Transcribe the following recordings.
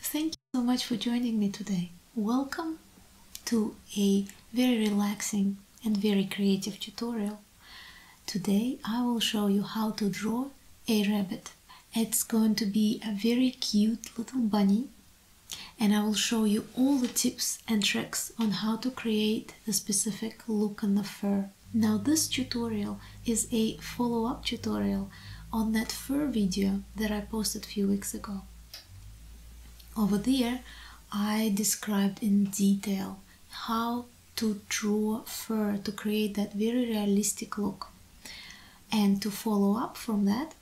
Thank you so much for joining me today. Welcome to a very relaxing and very creative tutorial. Today I will show you how to draw a rabbit. It's going to be a very cute little bunny and I will show you all the tips and tricks on how to create the specific look and the fur. Now this tutorial is a follow-up tutorial on that fur video that I posted a few weeks ago. Over there, I described in detail how to draw fur to create that very realistic look. And to follow up from that,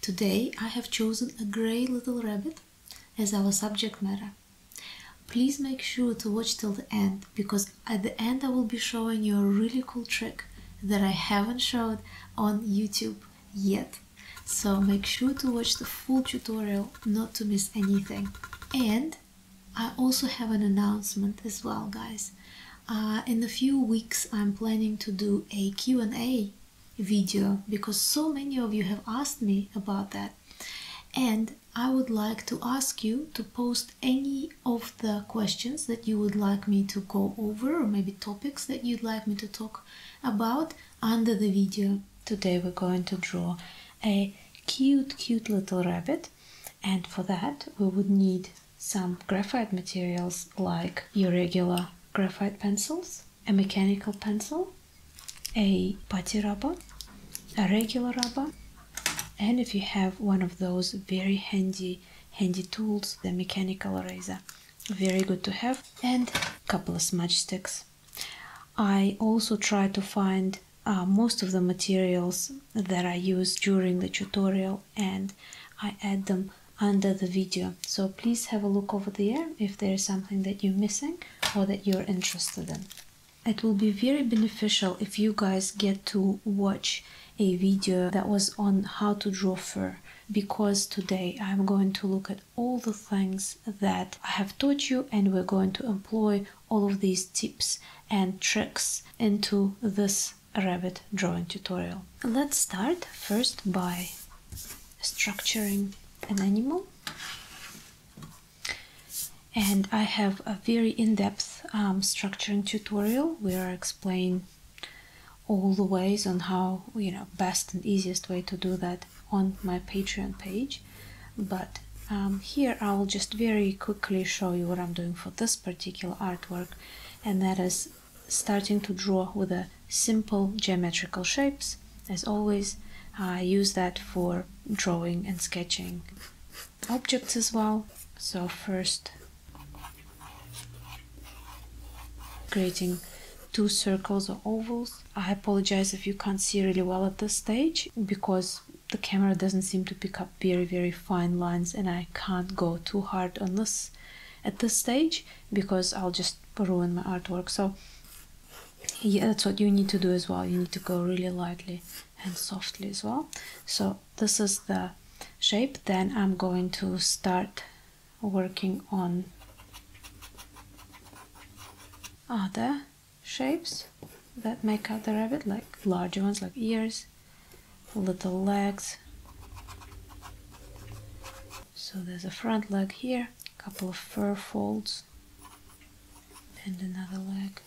today I have chosen a grey little rabbit as our subject matter. Please make sure to watch till the end because at the end I will be showing you a really cool trick that I haven't showed on YouTube yet. So make sure to watch the full tutorial not to miss anything. And I also have an announcement as well, guys. Uh, in a few weeks, I'm planning to do a Q&A video because so many of you have asked me about that. And I would like to ask you to post any of the questions that you would like me to go over or maybe topics that you'd like me to talk about under the video. Today we're going to draw a cute cute little rabbit and for that we would need some graphite materials like your regular graphite pencils, a mechanical pencil, a putty rubber, a regular rubber and if you have one of those very handy handy tools the mechanical eraser very good to have and couple of smudge sticks i also try to find uh, most of the materials that i use during the tutorial and i add them under the video so please have a look over there if there is something that you're missing or that you're interested in it will be very beneficial if you guys get to watch a video that was on how to draw fur because today I'm going to look at all the things that I have taught you and we're going to employ all of these tips and tricks into this rabbit drawing tutorial. Let's start first by structuring an animal and I have a very in-depth um, structuring tutorial where I explain all the ways on how you know best and easiest way to do that on my Patreon page. But um, here I will just very quickly show you what I'm doing for this particular artwork, and that is starting to draw with a simple geometrical shapes. As always, I use that for drawing and sketching objects as well. So first creating two circles or ovals. I apologize if you can't see really well at this stage because the camera doesn't seem to pick up very very fine lines and I can't go too hard on this at this stage because I'll just ruin my artwork. So yeah, that's what you need to do as well. You need to go really lightly and softly as well. So this is the shape then I'm going to start working on other shapes that make up the rabbit like larger ones like ears little legs so there's a front leg here a couple of fur folds and another leg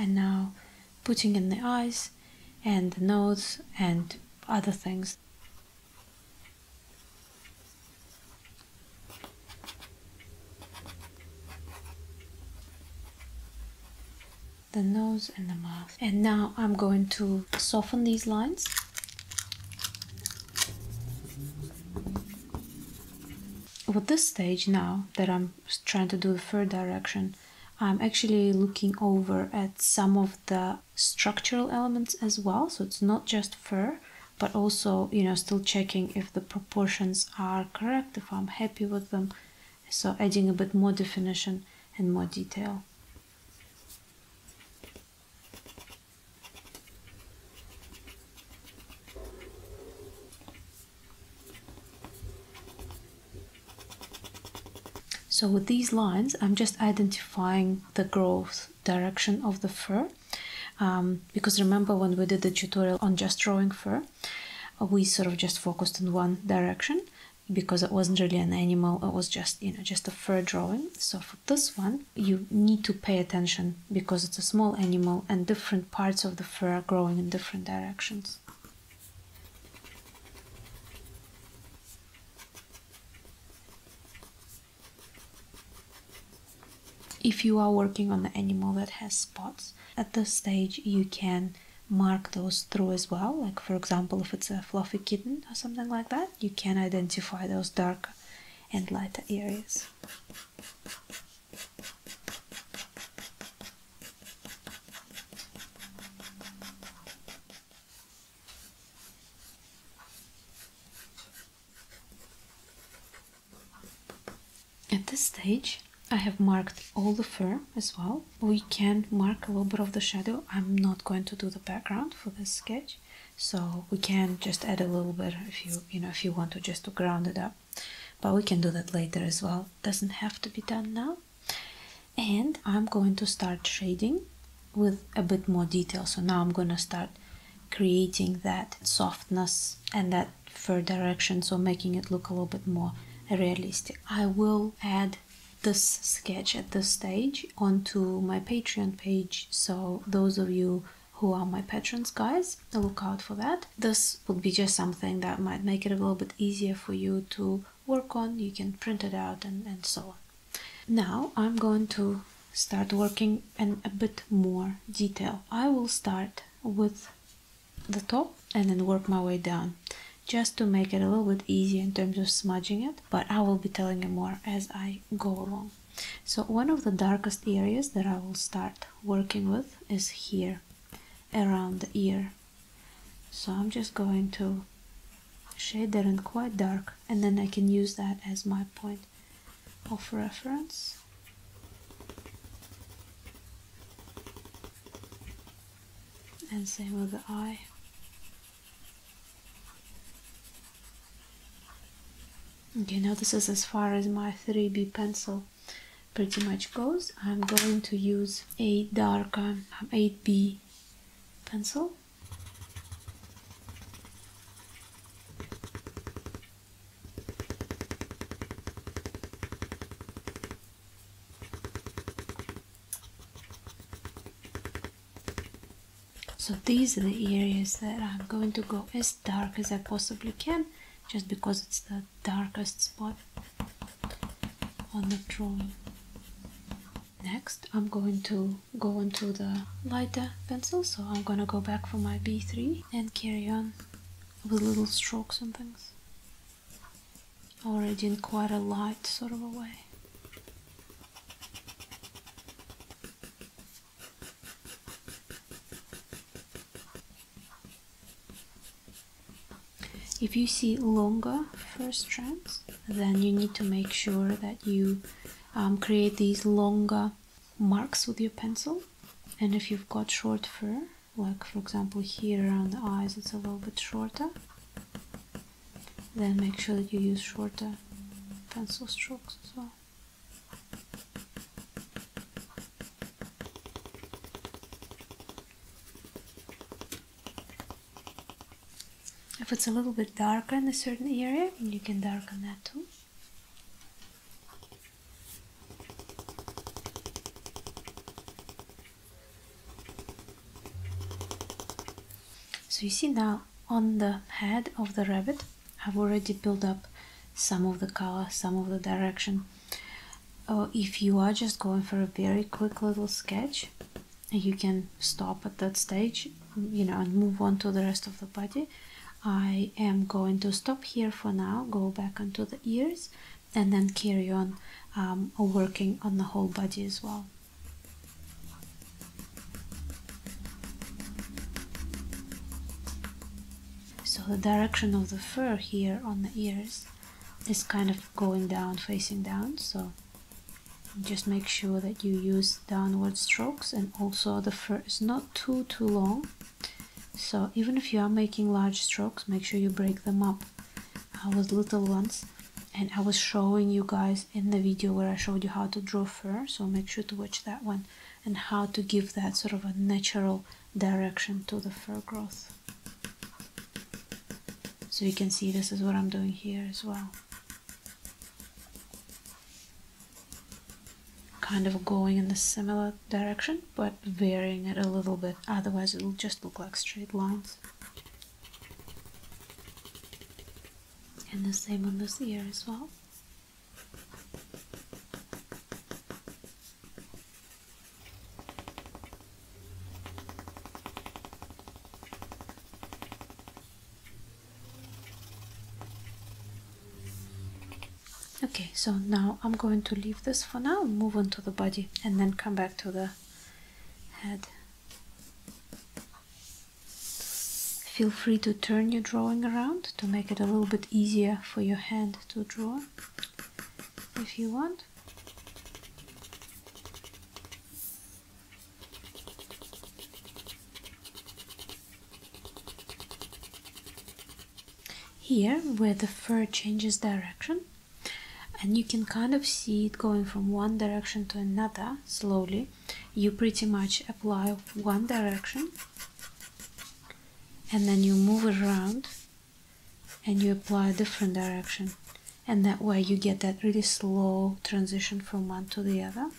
and now putting in the eyes and the nose and other things. the nose and the mouth and now I'm going to soften these lines at this stage now that I'm trying to do the fur direction, I'm actually looking over at some of the structural elements as well. So it's not just fur, but also, you know, still checking if the proportions are correct, if I'm happy with them. So adding a bit more definition and more detail. So with these lines, I'm just identifying the growth direction of the fur. Um, because remember when we did the tutorial on just drawing fur, we sort of just focused in one direction because it wasn't really an animal, it was just, you know, just a fur drawing. So for this one, you need to pay attention because it's a small animal and different parts of the fur are growing in different directions. If you are working on an animal that has spots, at this stage you can mark those through as well. Like for example, if it's a fluffy kitten or something like that, you can identify those darker and lighter areas. At this stage, I have marked all the fur as well. We can mark a little bit of the shadow. I'm not going to do the background for this sketch so we can just add a little bit if you you know if you want to just to ground it up but we can do that later as well doesn't have to be done now and i'm going to start shading with a bit more detail so now i'm going to start creating that softness and that fur direction so making it look a little bit more realistic i will add this sketch at this stage onto my patreon page so those of you who are my patrons guys look out for that this would be just something that might make it a little bit easier for you to work on you can print it out and, and so on now i'm going to start working in a bit more detail i will start with the top and then work my way down just to make it a little bit easier in terms of smudging it but i will be telling you more as i go along so one of the darkest areas that I will start working with is here around the ear. So I'm just going to shade that in quite dark and then I can use that as my point of reference. And same with the eye. Okay, now this is as far as my 3B pencil pretty much goes. I'm going to use a darker um, 8B pencil. So these are the areas that I'm going to go as dark as I possibly can just because it's the darkest spot on the drawing. Next I'm going to go into the lighter pencil so I'm gonna go back for my B3 and carry on with little strokes and things already in quite a light sort of a way. If you see longer first strands, then you need to make sure that you um, create these longer marks with your pencil. And if you've got short fur, like for example here around the eyes, it's a little bit shorter, then make sure that you use shorter pencil strokes as well. If it's a little bit darker in a certain area, you can darken that too. So you see now on the head of the rabbit I've already built up some of the color, some of the direction. if you are just going for a very quick little sketch, you can stop at that stage, you know, and move on to the rest of the body. I am going to stop here for now, go back onto the ears, and then carry on um, working on the whole body as well. So the direction of the fur here on the ears is kind of going down, facing down. So just make sure that you use downward strokes and also the fur is not too, too long. So even if you are making large strokes, make sure you break them up I was little ones. And I was showing you guys in the video where I showed you how to draw fur, so make sure to watch that one and how to give that sort of a natural direction to the fur growth. So you can see this is what I'm doing here as well. Kind of going in a similar direction but varying it a little bit, otherwise it will just look like straight lines. And the same on this ear as well. Okay, so now I'm going to leave this for now, move on to the body, and then come back to the head. Feel free to turn your drawing around to make it a little bit easier for your hand to draw if you want. Here, where the fur changes direction, and you can kind of see it going from one direction to another slowly, you pretty much apply one direction and then you move it around and you apply a different direction and that way you get that really slow transition from one to the other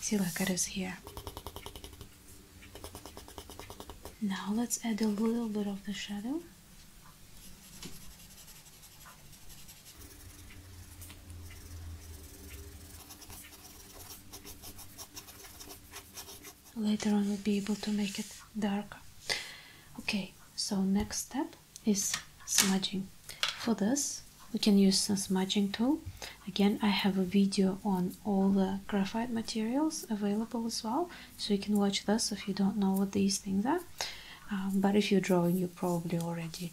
see like it is here now let's add a little bit of the shadow later on we'll be able to make it darker okay so next step is smudging for this we can use some smudging tool again i have a video on all the graphite materials available as well so you can watch this if you don't know what these things are um, but if you're drawing you probably already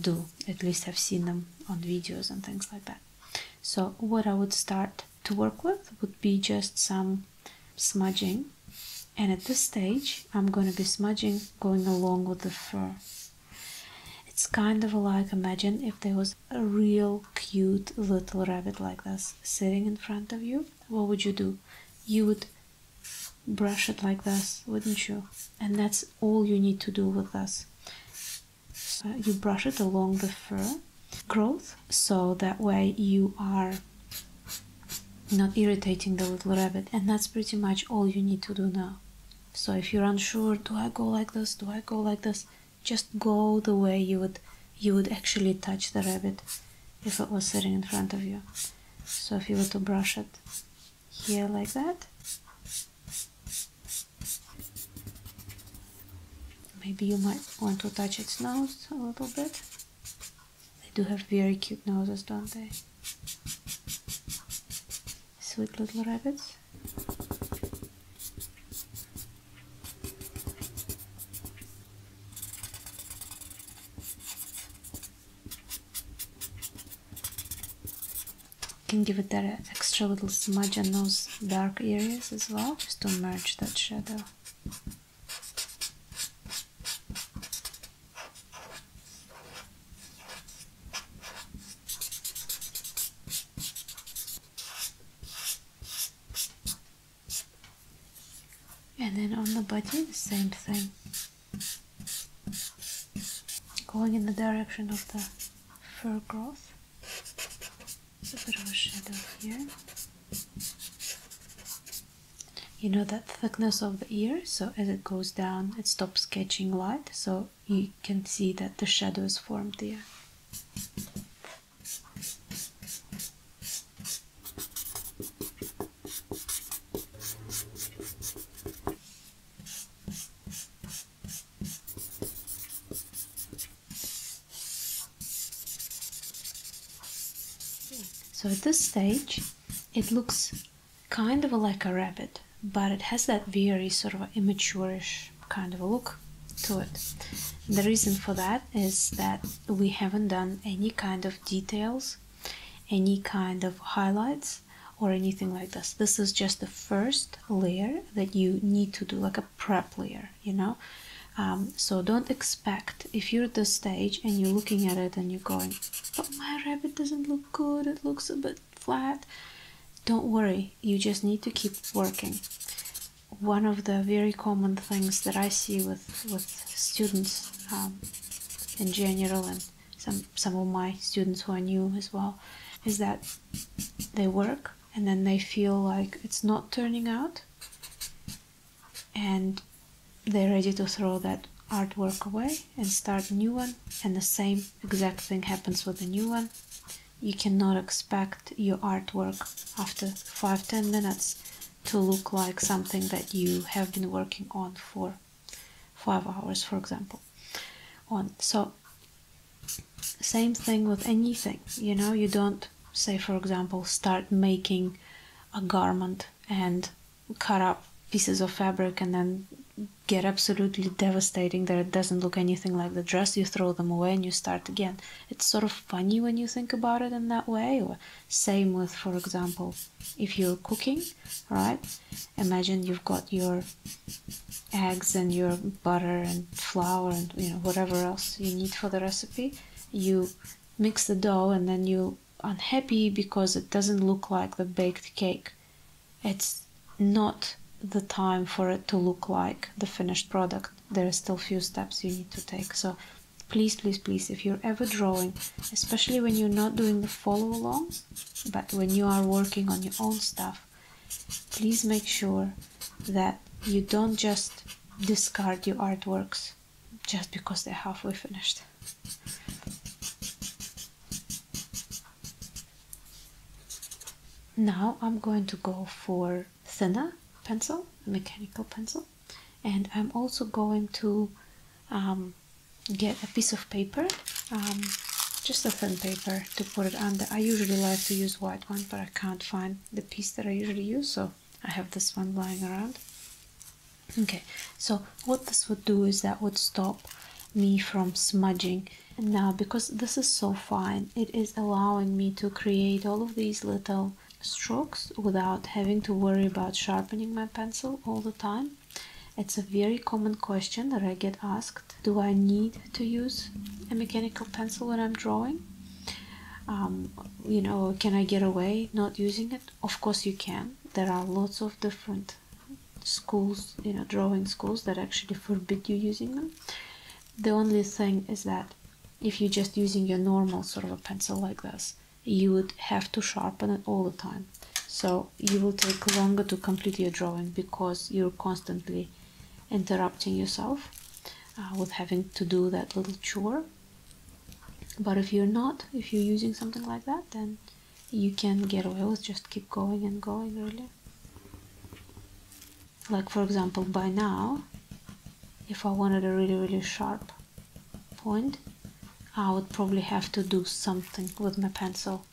do at least have seen them on videos and things like that so what I would start to work with would be just some smudging and at this stage I'm going to be smudging going along with the fur. It's kind of like imagine if there was a real cute little rabbit like this sitting in front of you. What would you do? You would brush it like this, wouldn't you? And that's all you need to do with this. Uh, you brush it along the fur growth so that way you are not irritating the little rabbit and that's pretty much all you need to do now so if you're unsure do i go like this do i go like this just go the way you would you would actually touch the rabbit if it was sitting in front of you so if you were to brush it here like that Maybe you might want to touch its nose a little bit. They do have very cute noses, don't they? Sweet little rabbits can give it that extra little smudge on those dark areas as well, just to merge that shadow. And then on the body, the same thing. Going in the direction of the fur growth a bit of a shadow here. You know that thickness of the ear, so as it goes down, it stops catching light, so you can see that the shadow is formed there. So at this stage, it looks kind of like a rabbit, but it has that very sort of immatureish kind of a look to it. The reason for that is that we haven't done any kind of details, any kind of highlights, or anything like this. This is just the first layer that you need to do, like a a prep layer, you know. Um, so don't expect if you're at the stage and you're looking at it and you're going, but oh, my rabbit doesn't look good, it looks a bit flat. Don't worry, you just need to keep working. One of the very common things that I see with, with students um, in general and some, some of my students who are new as well is that they work and then they feel like it's not turning out and they're ready to throw that artwork away and start a new one and the same exact thing happens with the new one you cannot expect your artwork after 5-10 minutes to look like something that you have been working on for 5 hours for example on so same thing with anything, you know, you don't say, for example, start making a garment and cut up pieces of fabric and then get absolutely devastating that it doesn't look anything like the dress, you throw them away and you start again. It's sort of funny when you think about it in that way. Or same with, for example, if you're cooking, right? Imagine you've got your eggs and your butter and flour and you know whatever else you need for the recipe you mix the dough and then you unhappy because it doesn't look like the baked cake it's not the time for it to look like the finished product there are still few steps you need to take so please please please if you're ever drawing especially when you're not doing the follow along but when you are working on your own stuff please make sure that you don't just discard your artworks just because they're halfway finished. Now I'm going to go for thinner pencil, mechanical pencil, and I'm also going to um, get a piece of paper, um, just a thin paper to put it under. I usually like to use white one, but I can't find the piece that I usually use so I have this one lying around okay so what this would do is that would stop me from smudging and now because this is so fine it is allowing me to create all of these little strokes without having to worry about sharpening my pencil all the time it's a very common question that I get asked do I need to use a mechanical pencil when I'm drawing? Um, you know, can I get away not using it? Of course, you can. There are lots of different schools, you know, drawing schools that actually forbid you using them. The only thing is that if you're just using your normal sort of a pencil like this, you would have to sharpen it all the time. So you will take longer to complete your drawing because you're constantly interrupting yourself uh, with having to do that little chore. But if you're not, if you're using something like that, then you can get away with just keep going and going, really. Like, for example, by now, if I wanted a really, really sharp point, I would probably have to do something with my pencil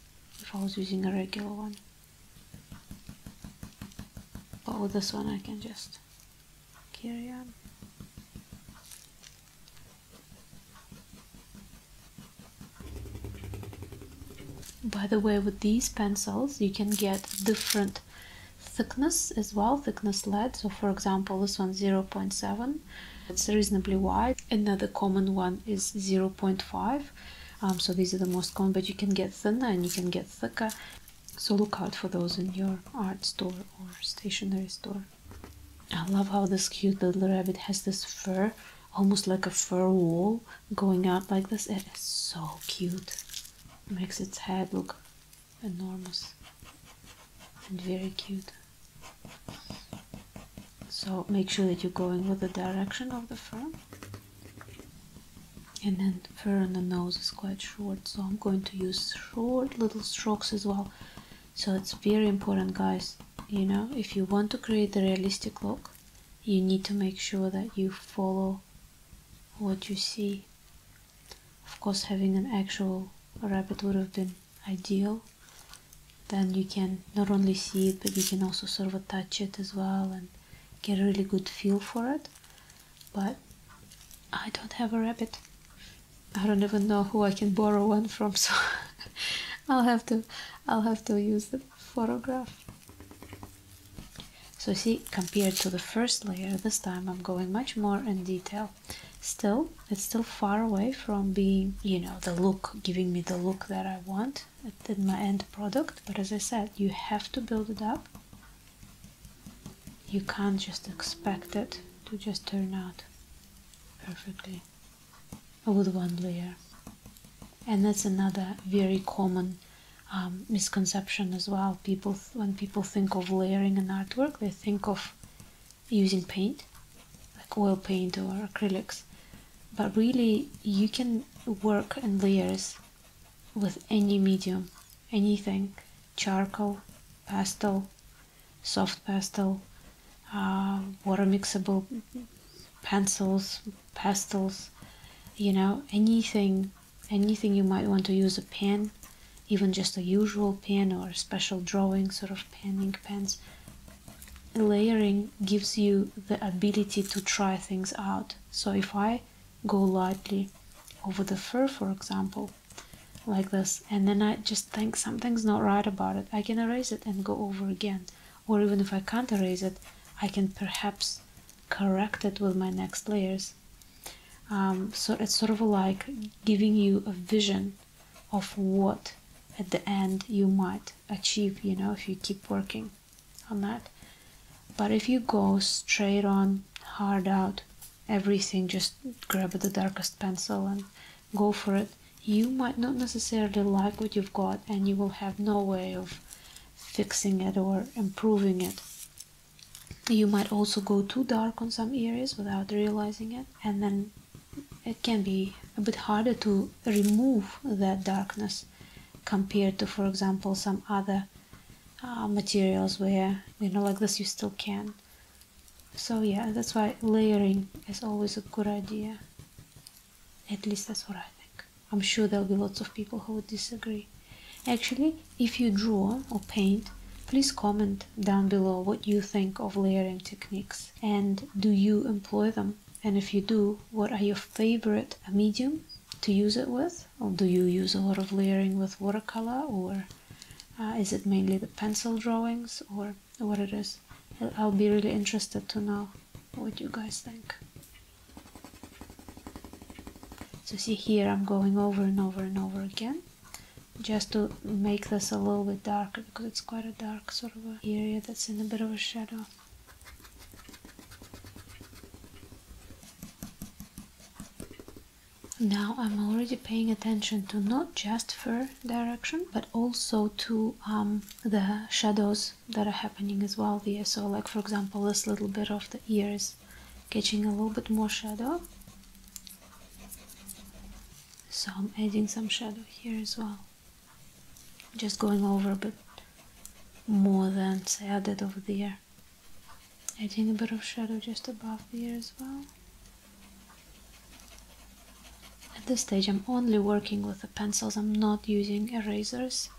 if I was using a regular one. But with oh, this one I can just carry on. By the way, with these pencils you can get different thickness as well, thickness lead. So for example, this one 0.7, it's reasonably wide. Another common one is 0.5 um, so these are the most common but you can get thinner and you can get thicker so look out for those in your art store or stationery store i love how this cute little rabbit has this fur almost like a fur wall going out like this it is so cute makes its head look enormous and very cute so make sure that you're going with the direction of the fur and then the fur on the nose is quite short so I'm going to use short little strokes as well so it's very important guys you know if you want to create a realistic look you need to make sure that you follow what you see of course having an actual rabbit would have been ideal then you can not only see it but you can also sort of attach it as well get a really good feel for it but I don't have a rabbit I don't even know who I can borrow one from so I'll have to I'll have to use the photograph so see compared to the first layer this time I'm going much more in detail still it's still far away from being you know the look giving me the look that I want that than my end product but as i said you have to build it up you can't just expect it to just turn out perfectly with one layer and that's another very common um, misconception as well people when people think of layering an artwork they think of using paint like oil paint or acrylics but really you can work in layers with any medium, anything, charcoal, pastel, soft pastel, uh, water mixable pencils, pastels, you know, anything, anything you might want to use a pen, even just a usual pen or special drawing sort of pen, ink pens. Layering gives you the ability to try things out. So if I go lightly over the fur, for example, like this, and then I just think something's not right about it, I can erase it and go over again. Or even if I can't erase it, I can perhaps correct it with my next layers. Um, so it's sort of like giving you a vision of what at the end you might achieve, you know, if you keep working on that but if you go straight on hard out everything just grab the darkest pencil and go for it you might not necessarily like what you've got and you will have no way of fixing it or improving it you might also go too dark on some areas without realizing it and then it can be a bit harder to remove that darkness compared to for example some other Ah, materials where you know like this you still can so yeah that's why layering is always a good idea at least that's what I think I'm sure there'll be lots of people who would disagree actually if you draw or paint please comment down below what you think of layering techniques and do you employ them and if you do what are your favorite medium to use it with do you use a lot of layering with watercolor or uh, is it mainly the pencil drawings or what it is i'll be really interested to know what you guys think so see here i'm going over and over and over again just to make this a little bit darker because it's quite a dark sort of area that's in a bit of a shadow now I'm already paying attention to not just fur direction but also to um, the shadows that are happening as well there. So like for example this little bit of the ears catching a little bit more shadow. So I'm adding some shadow here as well. Just going over a bit more than I did over there adding a bit of shadow just above the as well at this stage I'm only working with the pencils I'm not using erasers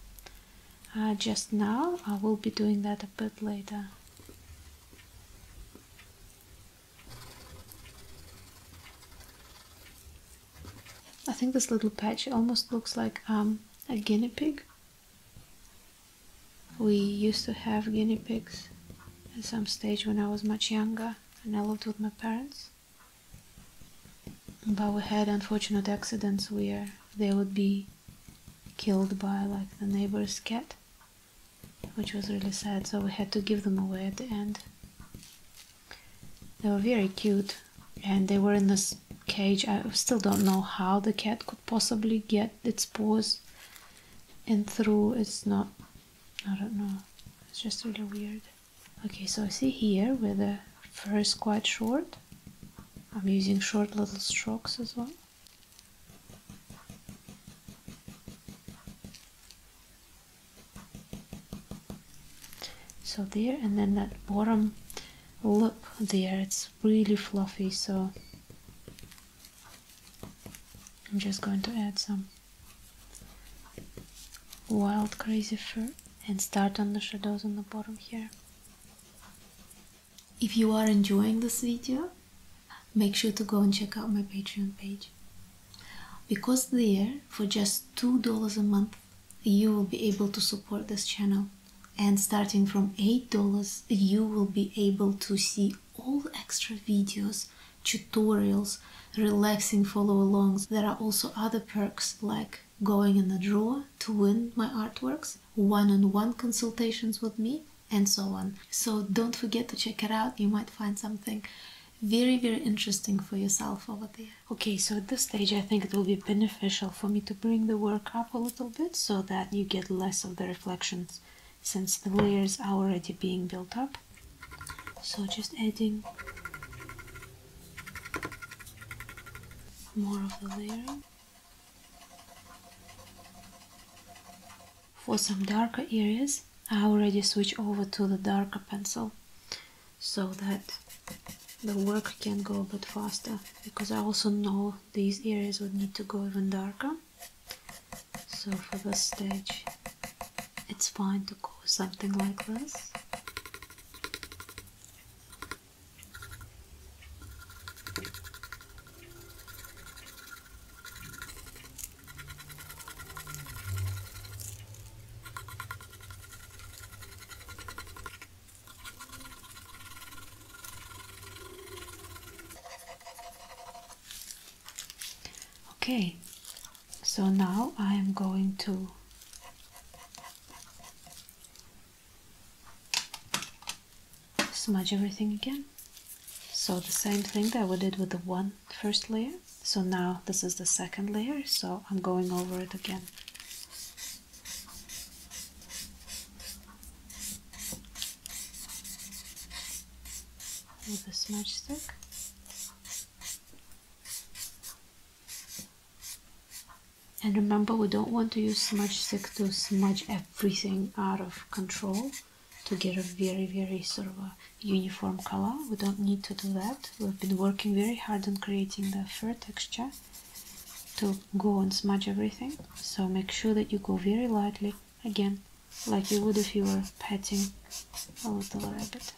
uh, just now I will be doing that a bit later I think this little patch almost looks like um, a guinea pig we used to have guinea pigs at some stage when I was much younger and I lived with my parents. But we had unfortunate accidents where they would be killed by like the neighbor's cat, which was really sad, so we had to give them away at the end. They were very cute and they were in this cage. I still don't know how the cat could possibly get its paws in through. It's not, I don't know, it's just really weird. Okay, so I see here where the fur is quite short. I'm using short little strokes as well. So there, and then that bottom look there it's really fluffy so I'm just going to add some wild crazy fur and start on the shadows on the bottom here if you are enjoying this video make sure to go and check out my patreon page because there for just two dollars a month you will be able to support this channel. And starting from $8, you will be able to see all extra videos, tutorials, relaxing follow-alongs. There are also other perks like going in the draw to win my artworks, one -on -one consultations with me, and so on. So don't forget to check it out. You might find something very, very interesting for yourself over there. Okay, so at this stage I think it will be beneficial for me to bring the work up a little bit so that you get less of the reflections since the layers are already being built up. So just adding more of the layer For some darker areas, I already switch over to the darker pencil so that the work can go a bit faster because I also know these areas would need to go even darker so for this stage it's fine to go something like this Okay, so now I am going to smudge everything again. So the same thing that we did with the one first layer. So now this is the second layer, so I'm going over it again with a smudge stick. And remember, we don't want to use smudge stick to smudge everything out of control to get a very, very sort of a uniform color. We don't need to do that. We've been working very hard on creating the fur texture to go and smudge everything so make sure that you go very lightly again like you would if you were petting a little rabbit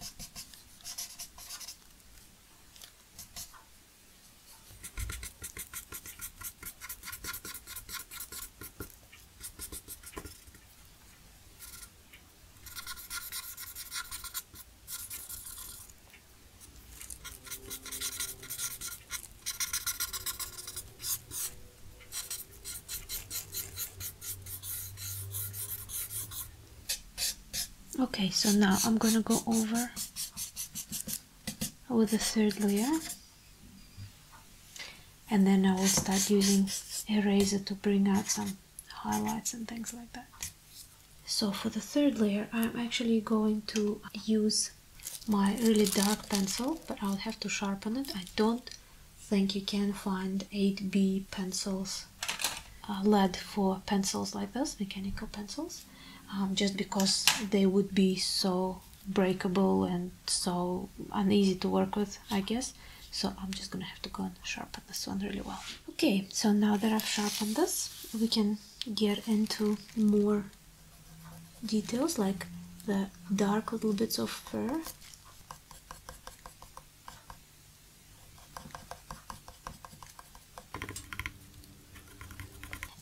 okay so now I'm gonna go over with the third layer and then I will start using eraser to bring out some highlights and things like that so for the third layer, I'm actually going to use my really dark pencil, but I'll have to sharpen it. I don't think you can find 8B pencils, uh, lead for pencils like this, mechanical pencils, um, just because they would be so breakable and so uneasy to work with, I guess. So I'm just gonna have to go and sharpen this one really well. Okay, so now that I've sharpened this, we can get into more details like the dark little bits of fur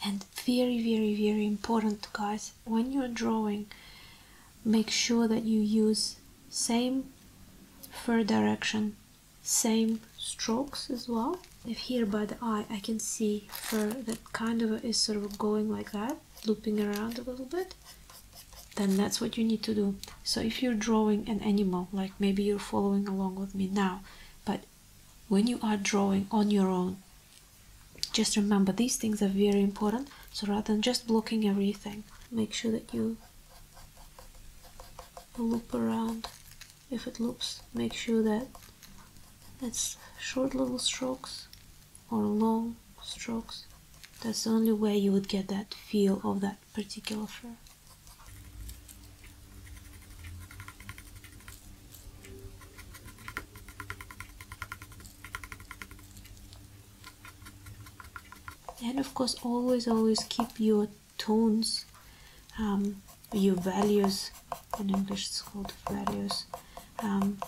and very very very important guys when you're drawing make sure that you use same fur direction same strokes as well if here by the eye I can see fur that kind of is sort of going like that looping around a little bit then that's what you need to do so if you're drawing an animal like maybe you're following along with me now but when you are drawing on your own just remember these things are very important so rather than just blocking everything make sure that you loop around if it loops make sure that it's short little strokes or long strokes that's the only way you would get that feel of that particular fur and of course always always keep your tones, um, your values. In English, it's called values. Um,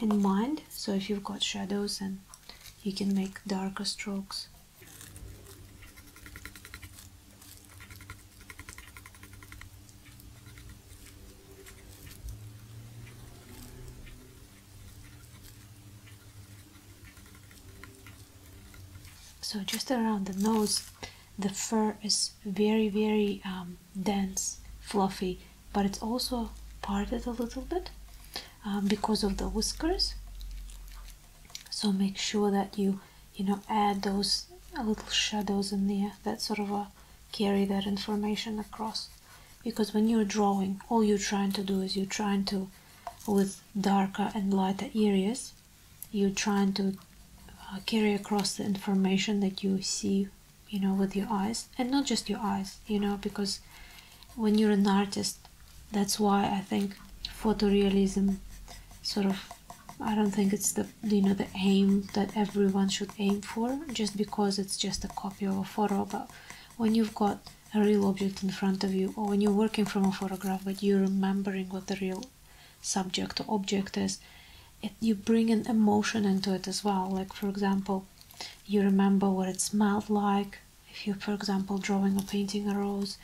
in mind, so if you've got shadows, and you can make darker strokes. So just around the nose, the fur is very very um, dense fluffy but it's also parted a little bit um, because of the whiskers so make sure that you you know add those uh, little shadows in there that sort of carry that information across because when you're drawing all you're trying to do is you're trying to with darker and lighter areas you're trying to uh, carry across the information that you see you know with your eyes and not just your eyes you know because when you're an artist that's why i think photorealism sort of i don't think it's the you know the aim that everyone should aim for just because it's just a copy of a photo but when you've got a real object in front of you or when you're working from a photograph but you're remembering what the real subject or object is, you bring an emotion into it as well. Like, for example, you remember what it smelled like. If you're, for example, drawing or painting a rose,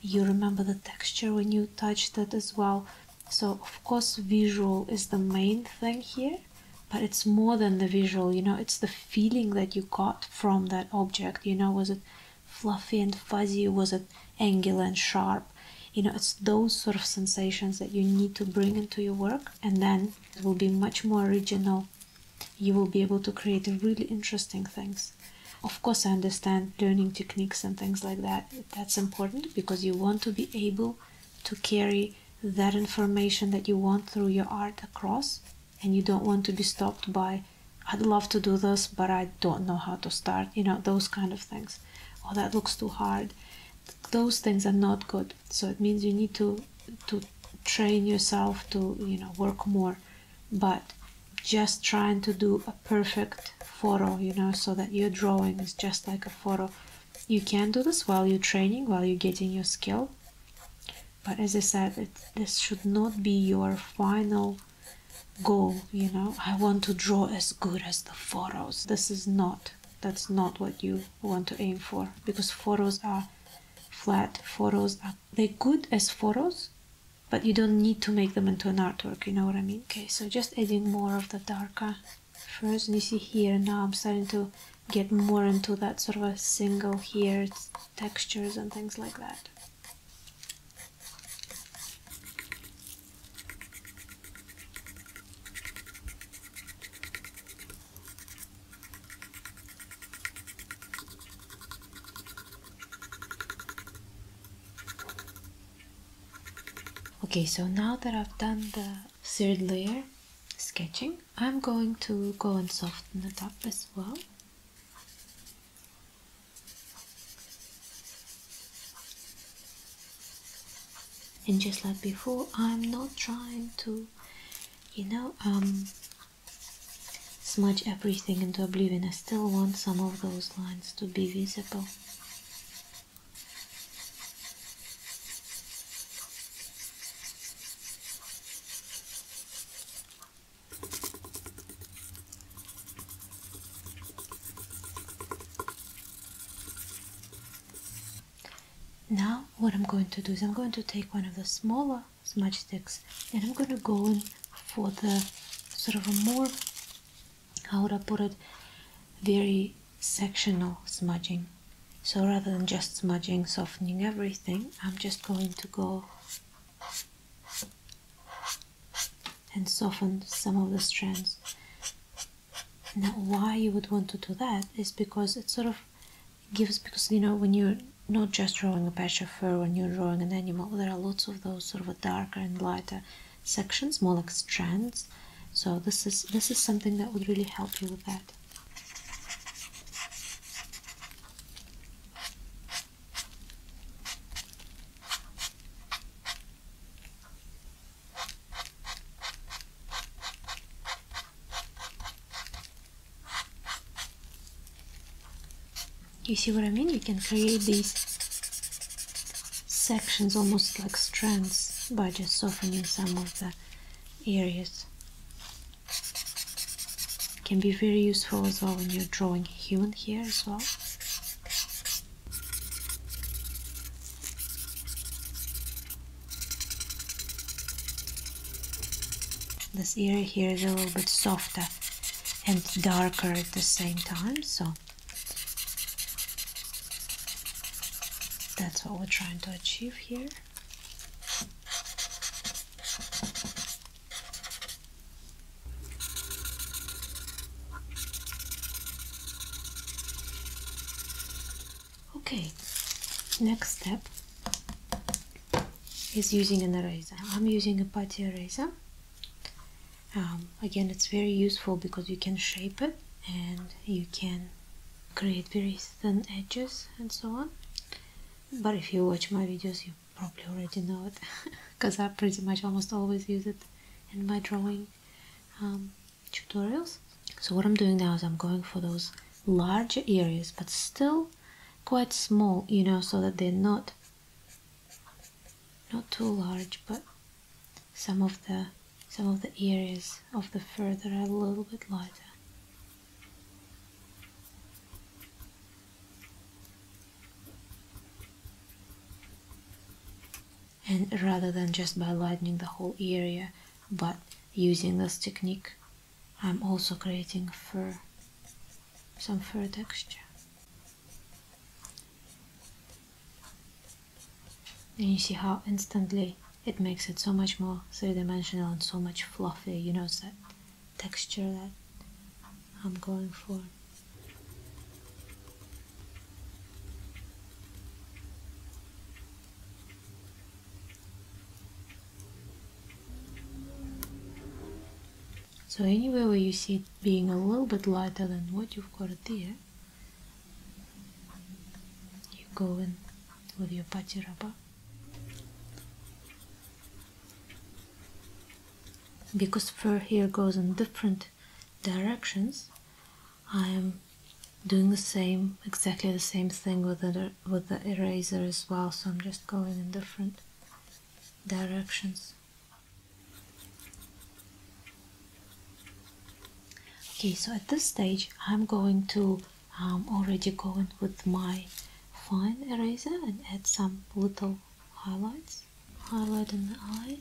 you remember the texture when you touched it as well. So, of course, visual is the main thing here, but it's more than the visual, you know, it's the feeling that you got from that object. You know, was it fluffy and fuzzy was it angular and sharp you know it's those sort of sensations that you need to bring into your work and then it will be much more original you will be able to create really interesting things of course i understand learning techniques and things like that that's important because you want to be able to carry that information that you want through your art across and you don't want to be stopped by I'd love to do this, but I don't know how to start, you know, those kind of things. Oh, that looks too hard. Those things are not good. So it means you need to to train yourself to, you know, work more. But just trying to do a perfect photo, you know, so that your drawing is just like a photo. You can do this while you're training, while you're getting your skill. But as I said, this should not be your final Go, you know i want to draw as good as the photos this is not that's not what you want to aim for because photos are flat photos are they good as photos but you don't need to make them into an artwork you know what i mean okay so just adding more of the darker first you see here now i'm starting to get more into that sort of a single here textures and things like that Okay, so now that I've done the third layer sketching, I'm going to go and soften it up as well and just like before I'm not trying to you know um, smudge everything into oblivion I still want some of those lines to be visible now what I'm going to do is I'm going to take one of the smaller smudge sticks and I'm going to go in for the sort of a more, how would I put it, very sectional smudging. So rather than just smudging, softening everything, I'm just going to go and soften some of the strands. Now, why you would want to do that is because it sort of gives, because you know, when you're not just drawing a patch of fur, when you're drawing an animal, there are lots of those sort of darker and lighter sections, more like strands. So this is this is something that would really help you with that. You see what I mean? You can create these sections almost like strands by just softening some of the areas. Can be very useful as well when you're drawing human hair as well. This area here is a little bit softer and darker at the same time, so that's what we're trying to achieve here. Okay, next step is using an eraser. I'm using a putty eraser. Um, again, it's very useful because you can shape it and you can create very thin edges and so on. But if you watch my videos, you probably already know it because I pretty much almost always use it in my drawing um, tutorials. So what I'm doing now is I'm going for those larger areas but still quite small, you know, so that they're not not too large but some of the some of the areas of the fur that are a little bit lighter. And rather than just by lightening the whole area, but using this technique, I'm also creating fur, some fur texture. And you see how instantly it makes it so much more three-dimensional and so much fluffier, you know, that texture, that I'm going for. So anywhere where you see it being a little bit lighter than what you've got it there, you go in with your patchy Because fur here goes in different directions I am doing the same exactly the same thing with the with the eraser as well so I'm just going in different directions okay so at this stage I'm going to um, already going with my fine eraser and add some little highlights highlight in the eye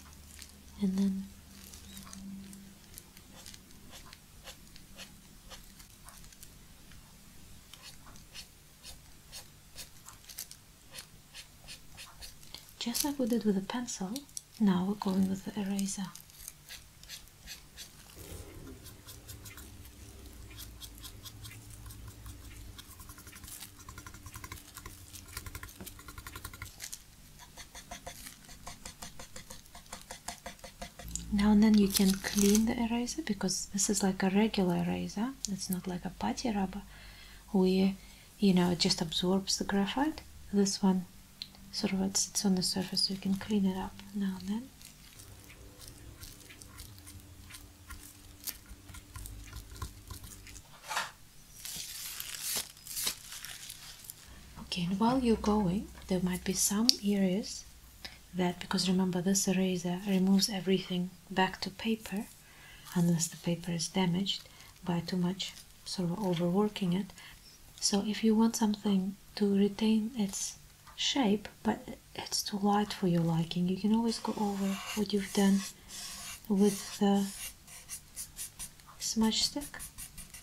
and then just like we did with the pencil, now we're going with the eraser. Now and then you can clean the eraser because this is like a regular eraser. It's not like a putty rubber where you know it just absorbs the graphite. This one sort of sits on the surface so you can clean it up now and then. Okay, and while you're going, there might be some areas that, because remember this eraser removes everything back to paper, unless the paper is damaged by too much sort of overworking it. So if you want something to retain its shape, but it's too light for your liking, you can always go over what you've done with the smudge stick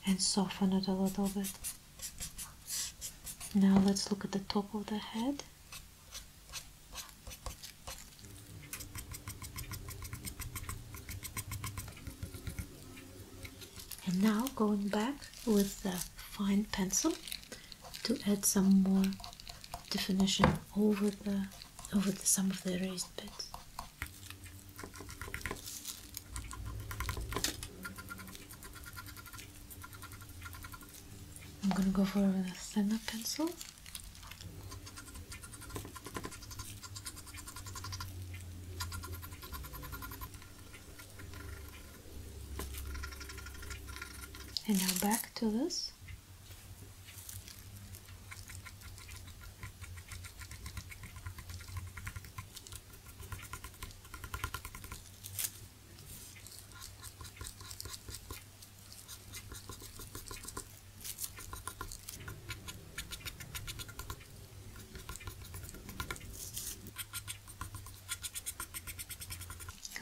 and soften it a little bit. Now let's look at the top of the head. And now going back with the fine pencil to add some more definition over the over oh, some of the raised bits. I'm gonna go for a thinner pencil. And now back to this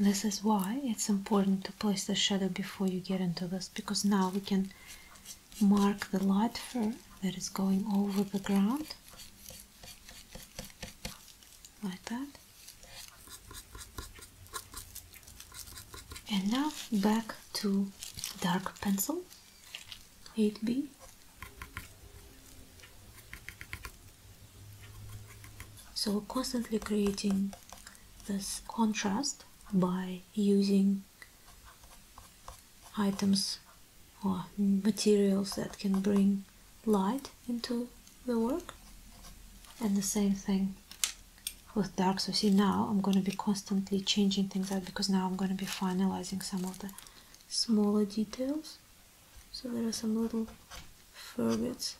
this. is why it's important to place the shadow before you get into the because now we can mark the light fur that is going over the ground like that and now back to dark pencil 8b so constantly creating this contrast by using items or materials that can bring light into the work and the same thing with dark so see now I'm going to be constantly changing things out because now I'm going to be finalizing some of the smaller details so there are some little fur bits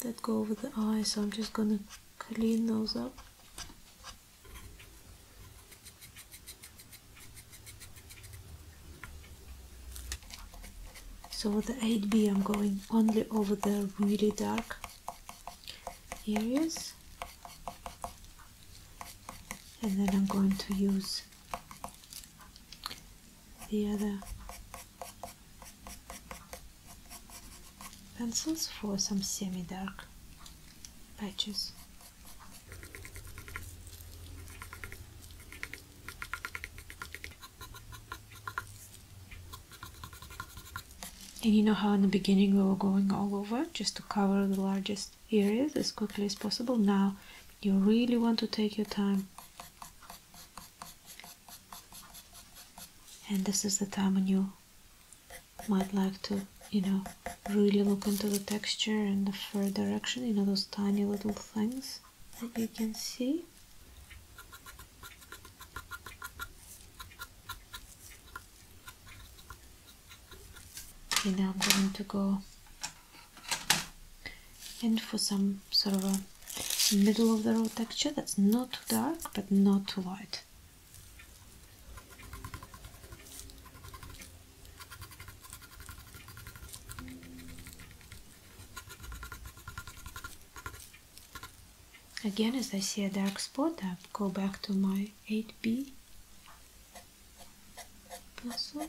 that go over the eye so I'm just gonna clean those up so with the 8B I'm going only over the really dark areas and then I'm going to use the other pencils for some semi-dark patches and you know how in the beginning we were going all over just to cover the largest areas as quickly as possible now you really want to take your time and this is the time when you might like to you know really look into the texture and the fur direction you know those tiny little things that you can see okay now I'm going to go in for some sort of a middle of the road texture that's not too dark but not too light Again, as I see a dark spot, I go back to my 8B pencil.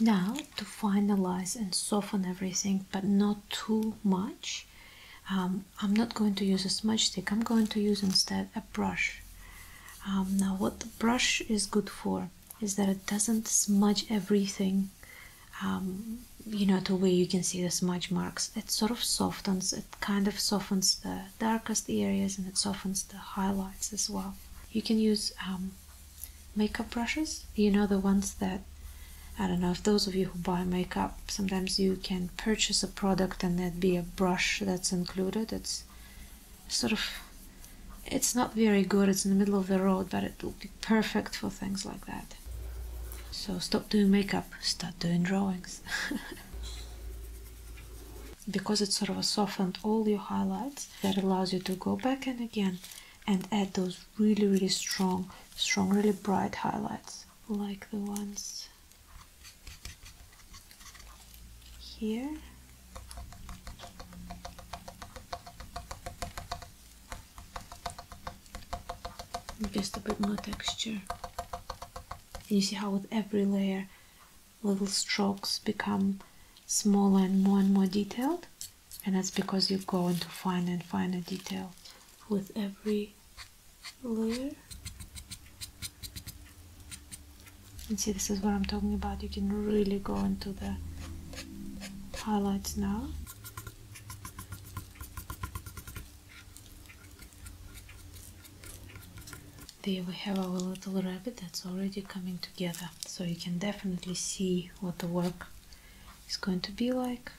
Now, to finalize and soften everything, but not too much, um, I'm not going to use a smudge stick, I'm going to use instead a brush. Um, now, what the brush is good for is that it doesn't smudge everything, um, you know, to where you can see the smudge marks. It sort of softens, it kind of softens the darkest areas and it softens the highlights as well. You can use makeup brushes. You know the ones that I don't know if those of you who buy makeup sometimes you can purchase a product and there'd be a brush that's included. It's sort of it's not very good, it's in the middle of the road, but it would be perfect for things like that. So stop doing makeup, start doing drawings. because it sort of softened all your highlights that allows you to go back and again and add those really really strong strong really bright highlights like the ones here just a bit more texture you see how with every layer little strokes become smaller and more and more detailed and that's because you go into finer and finer detail with every layer and see this is what I'm talking about you can really go into the highlights now there we have our little rabbit that's already coming to together so you can definitely see what the work is going to be like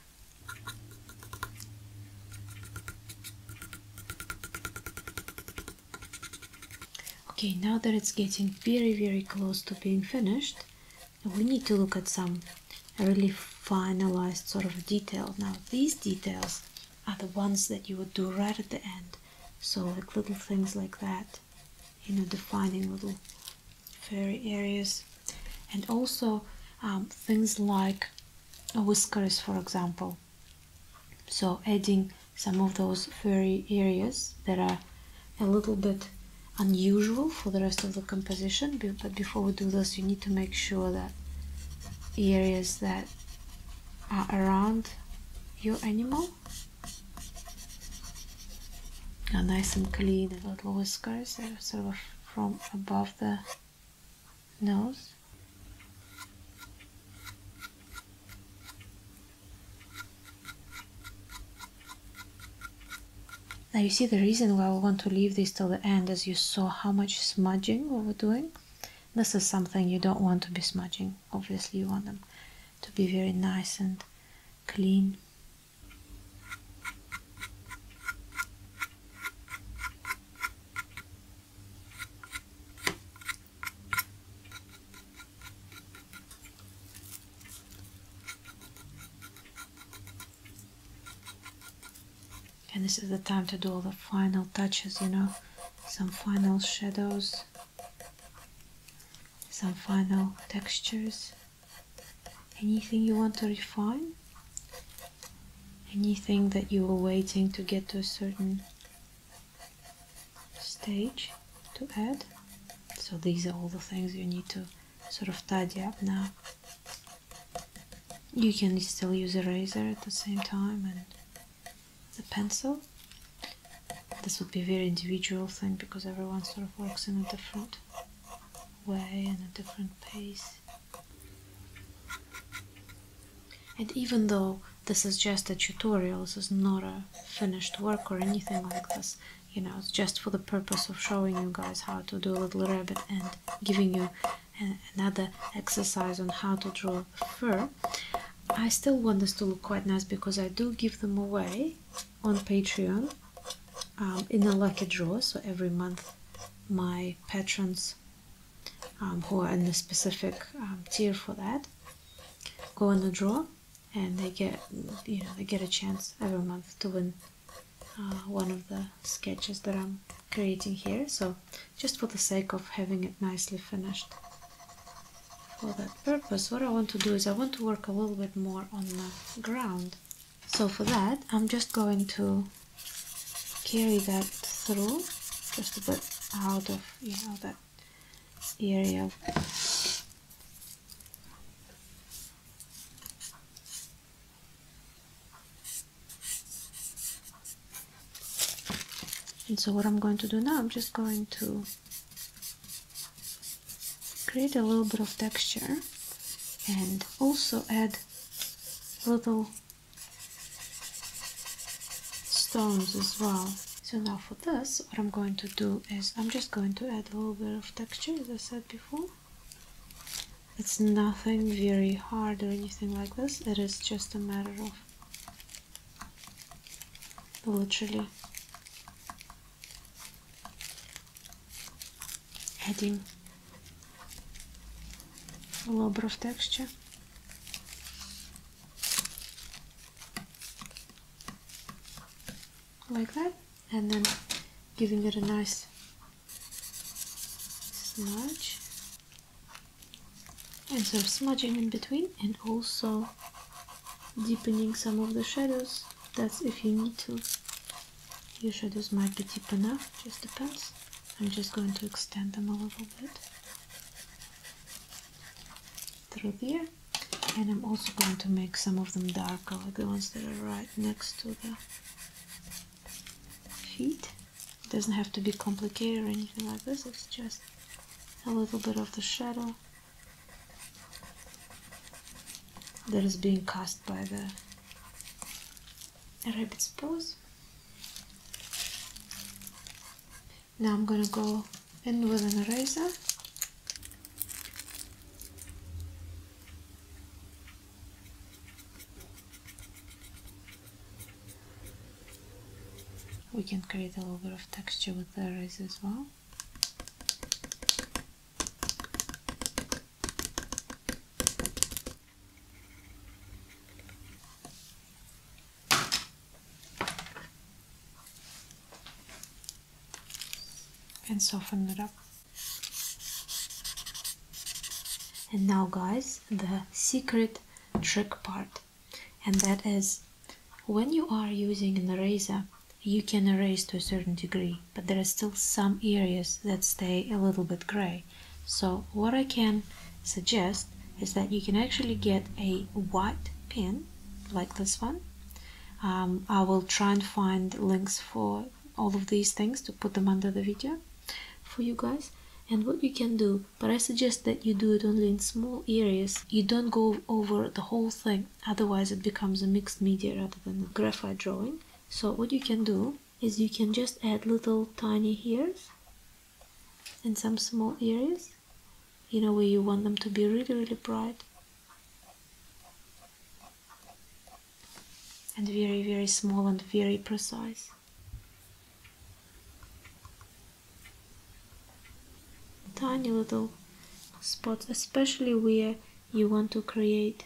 okay now that it's getting very very close to being finished we need to look at some really finalized sort of detail now these details are the ones that you would do right at the end so like little things like that you know defining little furry areas and also um, things like whiskers for example so adding some of those furry areas that are a little bit unusual for the rest of the composition but before we do this you need to make sure that areas that are around your animal now nice and clean little whiskers uh, sort of from above the nose. Now you see the reason why we want to leave this till the end As you saw how much smudging we were doing. This is something you don't want to be smudging. Obviously you want them to be very nice and clean and this is the time to do all the final touches you know some final shadows some final textures anything you want to refine anything that you were waiting to get to a certain stage to add so these are all the things you need to sort of tidy up now you can still use a razor at the same time and the pencil this would be a very individual thing because everyone sort of works in a different way and a different pace. And even though this is just a tutorial, is not a finished work or anything like this, you know, just for the purpose of showing you guys how to do a little rabbit and giving you uh, another exercise on how to draw the fur. I still want this to look quite nice because I do give them away on Patreon um, in a lucky draw. So every month, my patrons um, who are in the specific um, tier for that go in the draw, and they get you know they get a chance every month to win uh, one of the sketches that I'm creating here. So just for the sake of having it nicely finished for that purpose what I want to do is I want to work a little bit more on the ground so for that I'm just going to carry that through just a bit out of you know that area and so what I'm going to do now I'm just going to create a little bit of texture and also add little stones as well so now for this what i'm going to do is i'm just going to add a little bit of texture as i said before it's nothing very hard or anything like this it is just a matter of literally adding a little bit of texture like that and then giving it a nice smudge and some smudging in between and also deepening some of the shadows. That's if you need to. Your shadows might be deep enough, just depends. I'm just going to extend them a little bit through there. And I'm also going to make some of them darker, like the ones that are right next to the feet. It doesn't have to be complicated or anything like this, it's just a little bit of the shadow that is being cast by the rabbit's paws. Now I'm gonna go in with an eraser we can create a little bit of texture with the eraser as well and soften it up and now guys the secret trick part and that is when you are using an eraser, you can erase to a certain degree, but there are still some areas that stay a little bit gray. So what I can suggest is that you can actually get a white pen like this one. Um, I will try and find links for all of these things to put them under the video for you guys and what you can do but I suggest that you do it only in small areas you don't go over the whole thing otherwise it becomes a mixed media rather than a graphite drawing so what you can do is you can just add little tiny hairs and some small areas you know where you want them to be really really bright and very very small and very precise tiny little spots, especially where you want to create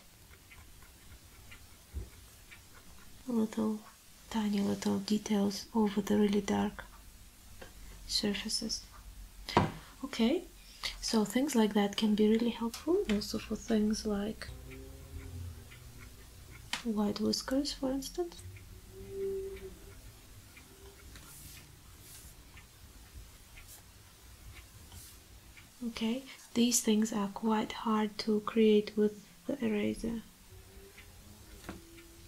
little tiny little details over the really dark surfaces. Okay, so things like that can be really helpful also for things like white whiskers, for instance okay these things are quite hard to create with the eraser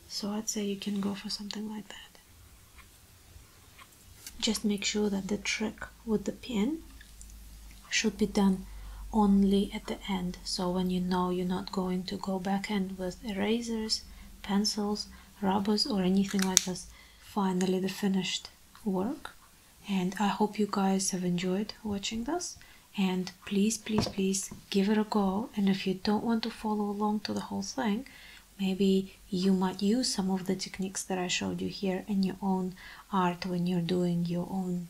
so I'd say you can go for something like that just make sure that the trick with the pin should be done only at the end so when you know you're not going to go back and with erasers pencils rubbers or anything like this finally the finished work and I hope you guys have enjoyed watching this and please please please give it a go and if you don't want to follow along to the whole thing maybe you might use some of the techniques that I showed you here in your own art when you're doing your own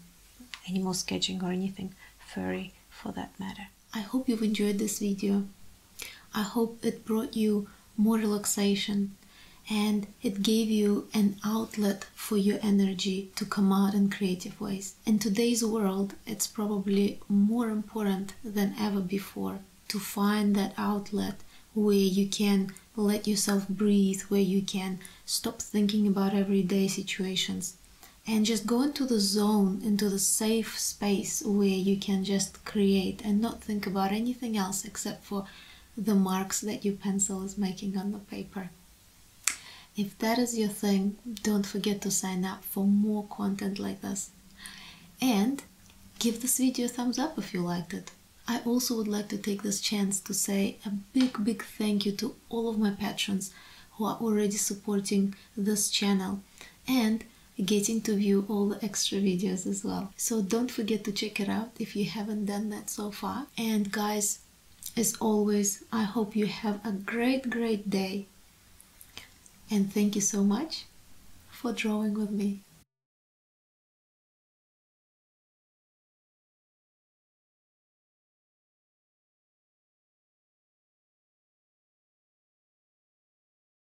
animal sketching or anything furry for that matter. I hope you've enjoyed this video. I hope it brought you more relaxation and it gave you an outlet for your energy to come out in creative ways. In today's world, it's probably more important than ever before to find that outlet where you can let yourself breathe, where you can stop thinking about everyday situations and just go into the zone, into the safe space where you can just create and not think about anything else except for the marks that your pencil is making on the paper. If that is your thing, don't forget to sign up for more content like this. And give this video a thumbs up if you liked it. I also would like to take this chance to say a big, big thank you to all of my patrons who are already supporting this channel and getting to view all the extra videos as well. So don't forget to check it out if you haven't done that so far. And guys, as always, I hope you have a great, great day. And thank you so much for drawing with me.